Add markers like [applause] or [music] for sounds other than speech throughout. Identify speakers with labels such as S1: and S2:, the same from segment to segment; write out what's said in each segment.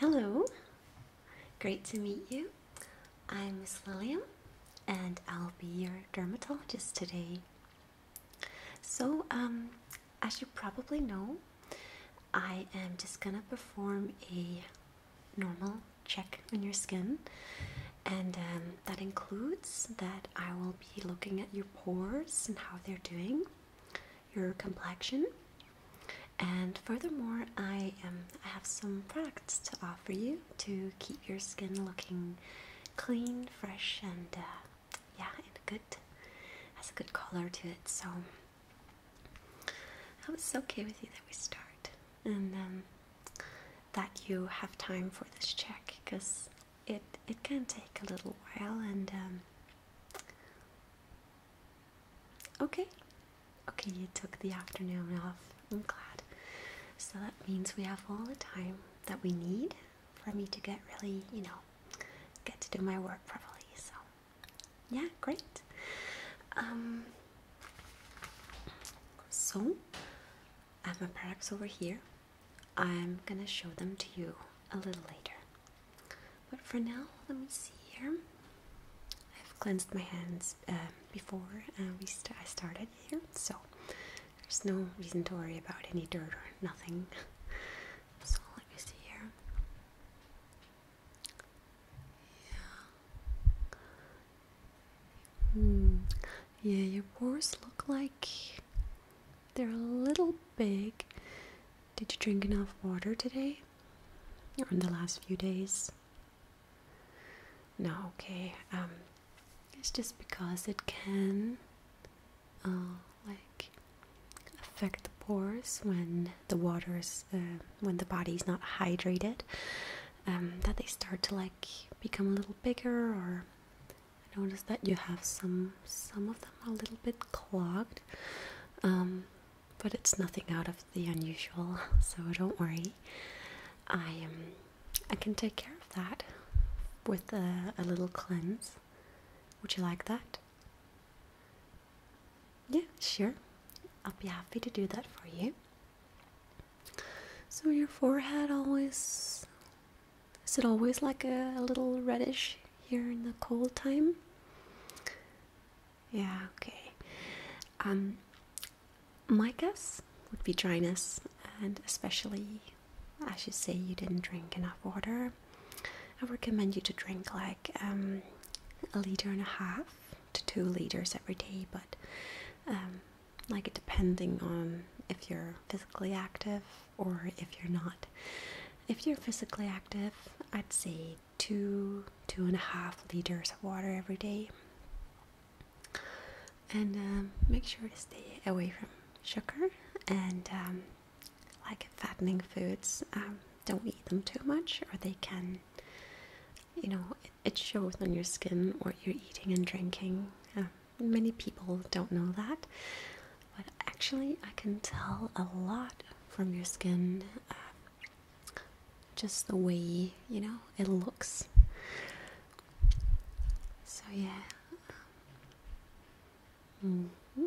S1: Hello, great to meet you. I'm Miss Lillian and I'll be your dermatologist today. So, um, as you probably know, I am just gonna perform a normal check on your skin, and um, that includes that I will be looking at your pores and how they're doing your complexion. And furthermore, I am I have some products to offer you to keep your skin looking clean, fresh, and uh, yeah, good has a good color to it. So I was okay with you that we start, and um, that you have time for this check because it it can take a little while, and um, Okay, okay, you took the afternoon off. I'm glad. So that means we have all the time that we need for me to get really, you know, get to do my work properly. So, yeah, great. Um, so, I have my products over here. I'm gonna show them to you a little later. But for now, let me see here. I've cleansed my hands uh, before uh, we I started here, so there's no reason to worry about any dirt or nothing. [laughs] so let me see here. Yeah. Hmm. Yeah, your pores look like they're a little big. Did you drink enough water today? or in the last few days? No, okay. Um, it's just because it can, uh, like, affect the pores when the water is, uh, when the body is not hydrated, um, that they start to like become a little bigger. Or notice that you have some some of them a little bit clogged. Um, but it's nothing out of the unusual, [laughs] so don't worry. I am. Um, I can take care of that with a, little cleanse. Would you like that? Yeah, sure. I'll be happy to do that for you. So your forehead always is it always like a little reddish here in the cold time. Yeah, okay. Um, my guess would be dryness, and especially as you say, you didn't drink enough water. I recommend you to drink like um, a liter and a half to two liters every day, but um, like depending on if you're physically active or if you're not. If you're physically active, I'd say two, two and a half liters of water every day. And um, make sure to stay away from sugar and um, like fattening foods. Um, don't eat them too much, or they can, you know, it, shows on your skin what you're eating and drinking. many people don't know that. But actually, I can tell a lot from your skin. Uh, just the way you know it looks. So yeah. Mm -hmm.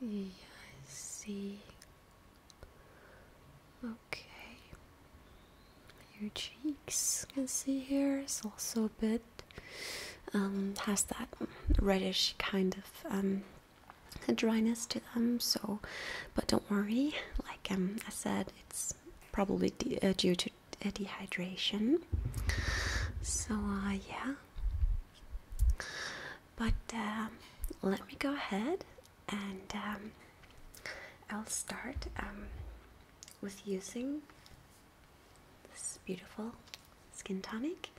S1: Yeah, I see. Okay. Your cheeks, you can see here, is also a bit um, has that reddish kind of um, dryness to them. So, but don't worry. Like um, I said, it's probably uh, due to dehydration. So uh, yeah. But uh, let me go ahead and I'll start with using this is beautiful skin tonic.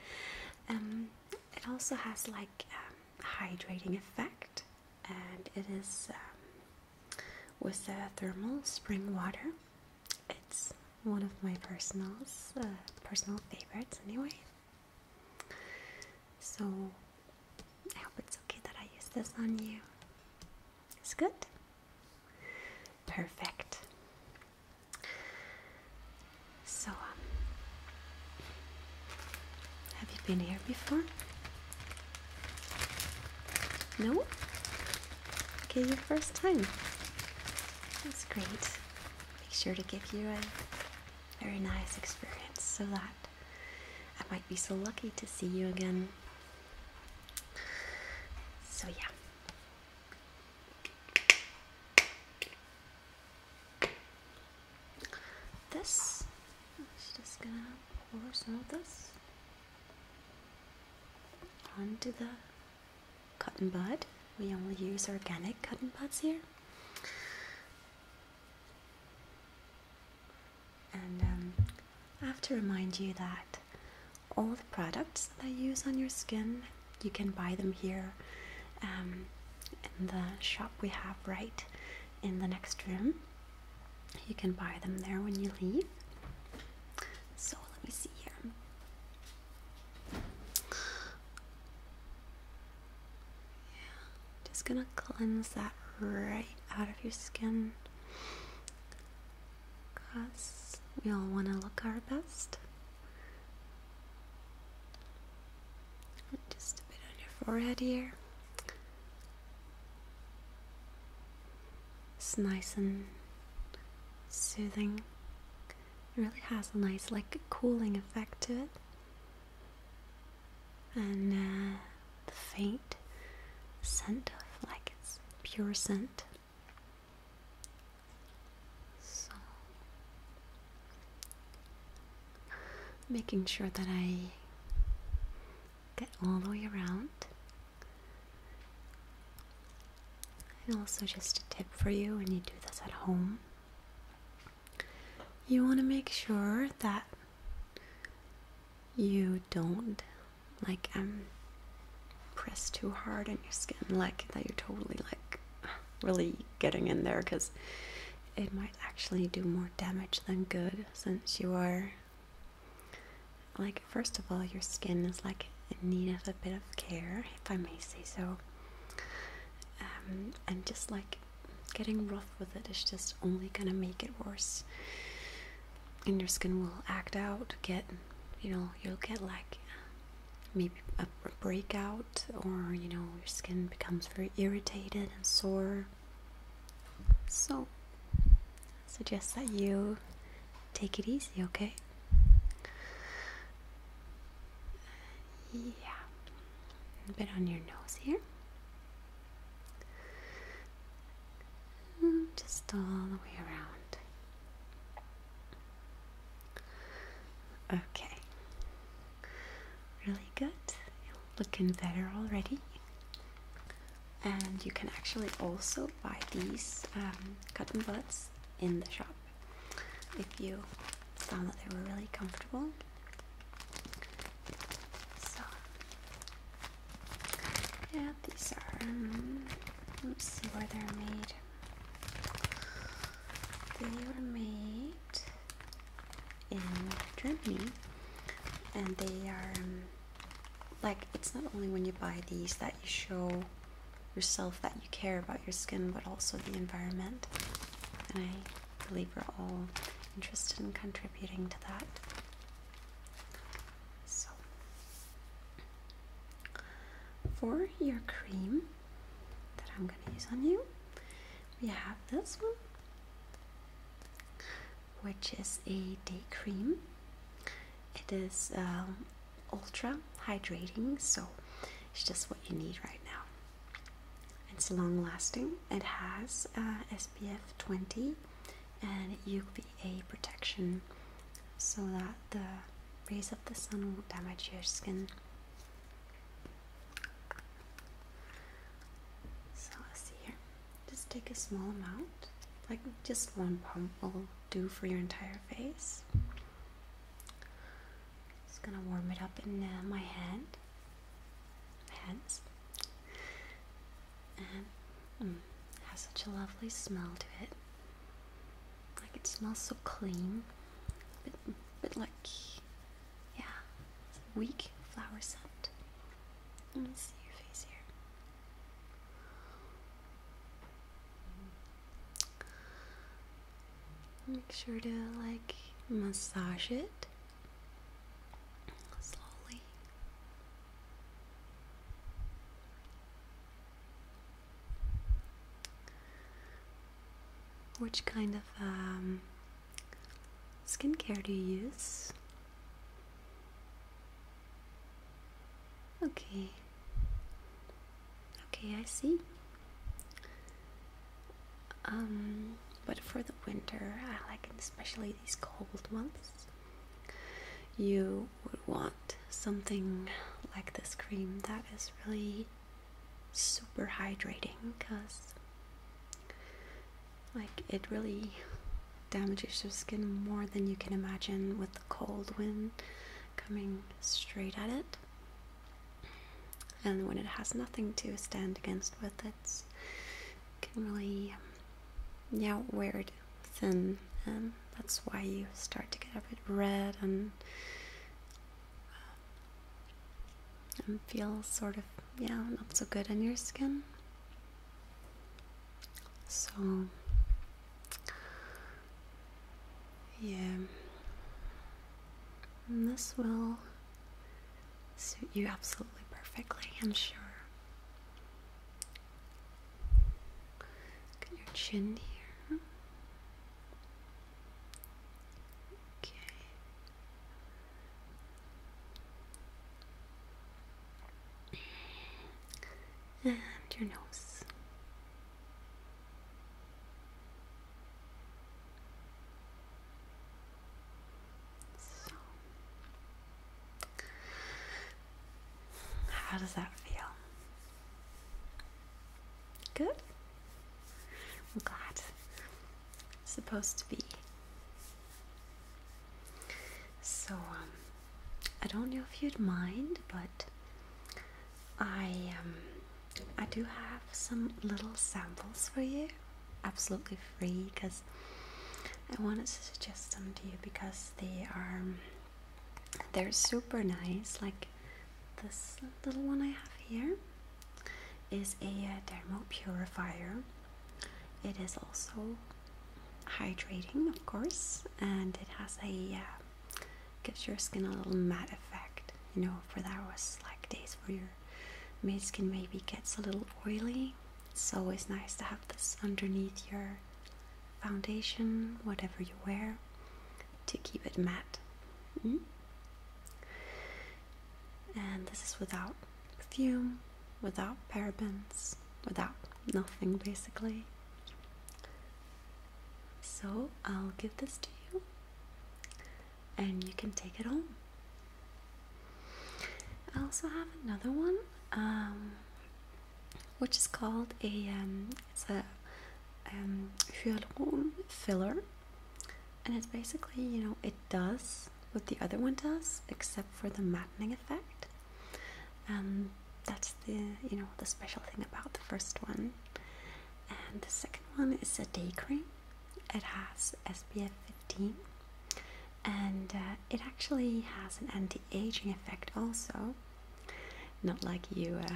S1: Um, it also has like um, hydrating effect, and it is um, with the thermal spring water. It's one of my personals, uh, personal favorites anyway. So I hope it's okay that I use this on you. It's good. Perfect. So, um, have you been here before? No? Okay, your first time. That's great. Make sure to give you a very nice experience so that I might be so lucky to see you again. So, yeah. This, i just gonna pour some of this onto the cotton bud. We only use organic cotton buds here. And um, I have to remind you that all the products that I use on your skin. You can buy them here um, in the shop we have right in the next room. You can buy them there when you leave. So let me see here. Yeah, just gonna cleanse that right out of your skin because we all want to look our best. just a bit on your forehead here. It's nice and soothing. It really has a nice, like, cooling effect to it. And uh, the faint scent of, like, it's pure scent so, making sure that I get all the way around. And also, just a tip for you when you do this at home you want to make sure that you don't like I'm um, pressed too hard on your skin, like that you're totally like really getting in there because it might actually do more damage than good since you are like first of all your skin is like in need of a bit of care if I may say so um, and just like getting rough with it is just only gonna make it worse and your skin will act out get you know you'll get like maybe a breakout or you know your skin becomes very irritated and sore so suggest that you take it easy okay yeah a bit on your nose here mm, just all the way around Okay. Really good. looking better already. And you can actually also buy these um, cotton buds in the shop if you found that they were really comfortable. So, yeah, these are. Mm, let's see where they're made. They were made in Germany, and they are um, like it's not only when you buy these that you show yourself that you care about your skin, but also the environment. And I believe we're all interested in contributing to that. So, for your cream that I'm gonna use on you, we have this one, which is a day cream. It is um, ultra hydrating, so it's just what you need right now. It's long lasting. It has uh, SPF 20, and you a protection so that the rays of the sun won't damage your skin. So let's see here. Just take a small amount, like just one pump will do for your entire face. Just gonna warm it up in uh, my hand, hands, and mm, has such a lovely smell to it. Like it smells so clean, but bit, bit like, yeah, weak flower scent. Let me see your face here. Make sure to like massage it slowly. Which kind of um, skincare do you use? Okay. Okay, I see. Um, but for the winter, I like especially these cold months. You would want something like this cream that is really super hydrating because like it really damages your skin more than you can imagine with the cold wind coming straight at it and when it has nothing to stand against with it can really yeah weird thin and um, that's why you start to get a bit red and uh, and feel sort of yeah not so good in your skin so yeah and this will suit you absolutely perfectly i'm sure your chin here. Okay. And your nose. So how does that feel? Good? I'm glad. It's supposed to be. So, um, I don't know if you'd mind, but I, um, I do have some little samples for you, absolutely free, because I wanted to suggest some to you because they are um, they're super nice. Like this little one I have here is a uh, purifier. It is also hydrating, of course, and it has a uh, gives your skin a little matte effect. You know, for those like days where your mid skin maybe gets a little oily, So it's always nice to have this underneath your foundation, whatever you wear, to keep it matte. Mm-hmm. And this is without perfume, without parabens, without nothing basically. So I'll give this to you and you can take it home. I also have another one. Um, which is called a um, it's a um, filler, and it's basically you know it does what the other one does except for the mattening effect. Um, that's the you know the special thing about the first one, and the second one is a day cream. It has SPF 15, and uh, it actually has an anti aging effect also. Not like you, uh,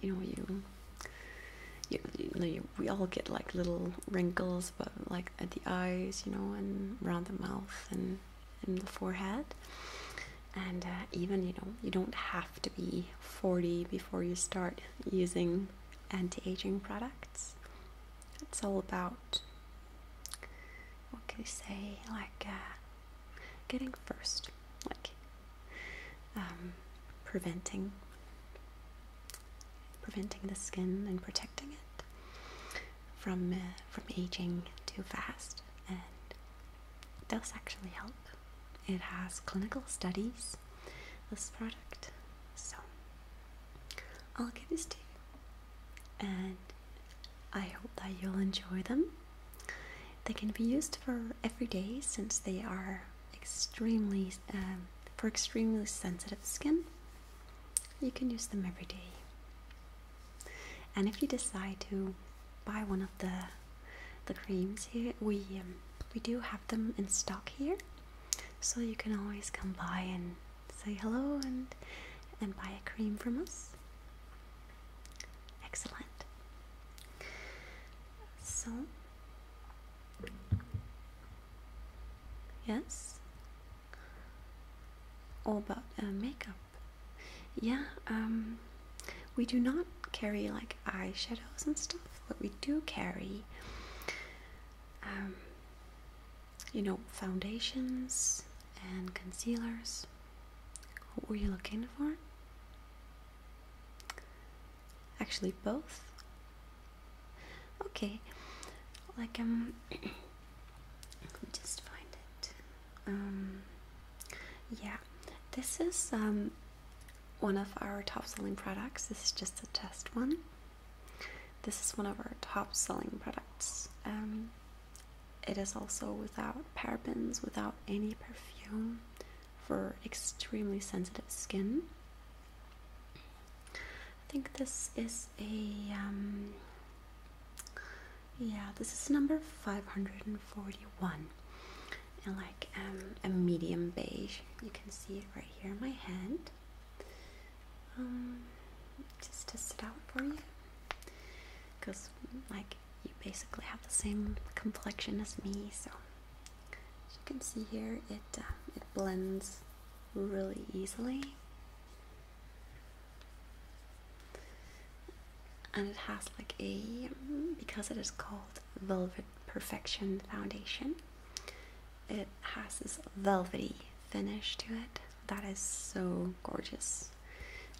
S1: you know, you, you, know, we all get like little wrinkles, but like at the eyes, you know, and around the mouth and in the forehead. And uh, even, you know, you don't have to be 40 before you start using anti-aging products. It's all about what can you say, like uh, getting first, like um, preventing preventing the skin and protecting it from uh, from aging too fast, and does actually help. It has clinical studies. This product, so I'll give this to you and I hope that you'll enjoy them. They can be used for every day since they are extremely um, for extremely sensitive skin. You can use them every day. And if you decide to buy one of the the creams here, we um, we do have them in stock here, so you can always come by and say hello and and buy a cream from us. Excellent. So yes. All about uh, makeup. Yeah, um, we do not carry like eyeshadows and stuff, but we do carry, um, you know, foundations, and concealers. What were you looking for? Actually, both. Okay, like I'm. Um, just find it. Um, yeah, this is um one of our top-selling products. This is just a test one. This is one of our top-selling products. Um, it is also without parabens, without any perfume for extremely sensitive skin. I think this is a, um, yeah, this is number 541 and like um, a medium beige. You can see it right here in my hand. Um, just test it out for you. Because, like, you basically have the same complexion as me, so as you can see here, it um, it blends really easily, and it has like a because it is called Velvet Perfection Foundation. It has this velvety finish to it that is so gorgeous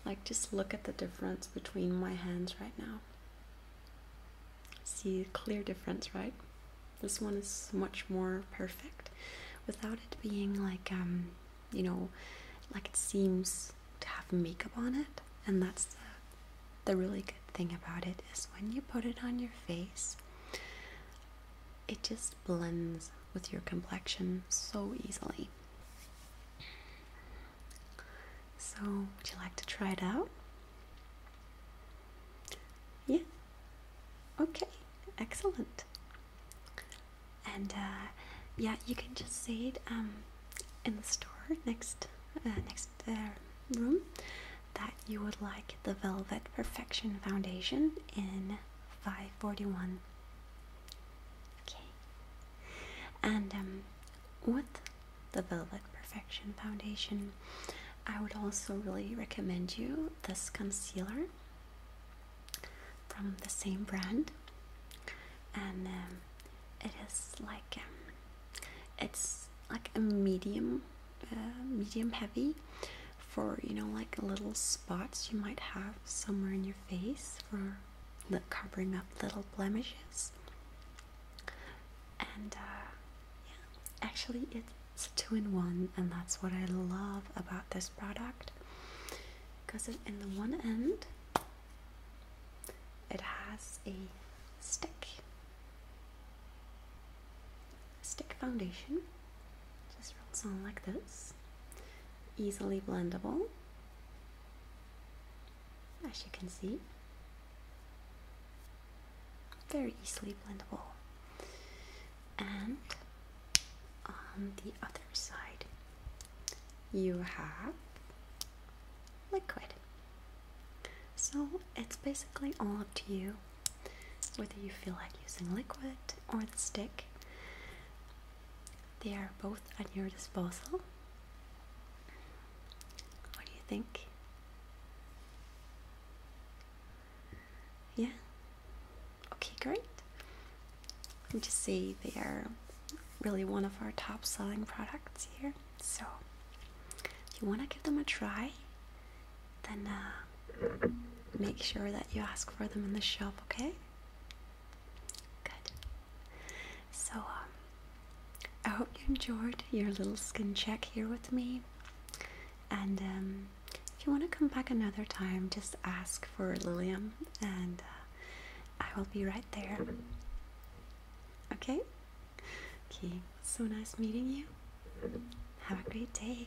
S1: like just look at the difference between my hands right now see clear difference right this one is much more perfect without it being like um you know like it seems to have makeup on it and that's the, the really good thing about it is when you put it on your face it just blends with your complexion so easily. So, would you like to try it out? Yeah. Okay, excellent. And uh, yeah, you can just say it um, in the store next uh, next uh, room that you would like the Velvet Perfection Foundation in 541. Okay. And um, with the Velvet Perfection Foundation, I would also really recommend you this concealer from the same brand, and um, it is like um, it's like a medium, uh, medium heavy, for you know like little spots you might have somewhere in your face for covering up little blemishes and uh, yeah actually it's two-in-one and that's what I love about this product because in the one end it has a stick stick foundation just rolls on like this easily blendable, as you can see. Very easily blendable. And on the other side, you have liquid. So it's basically all up to you whether you feel like using liquid or the stick. They are both at your disposal. What do you think? Yeah? Okay, great. You just see they are really one of our top selling products here. So if you want to give them a try, then uh, make sure that you ask for them in the shop, okay? Good. So, um, I hope you enjoyed your little skin check here with me. And um, if you want to come back another time, just ask for Lilium and uh, I will be right there. Okay? Okay, so nice meeting you. Have a great day.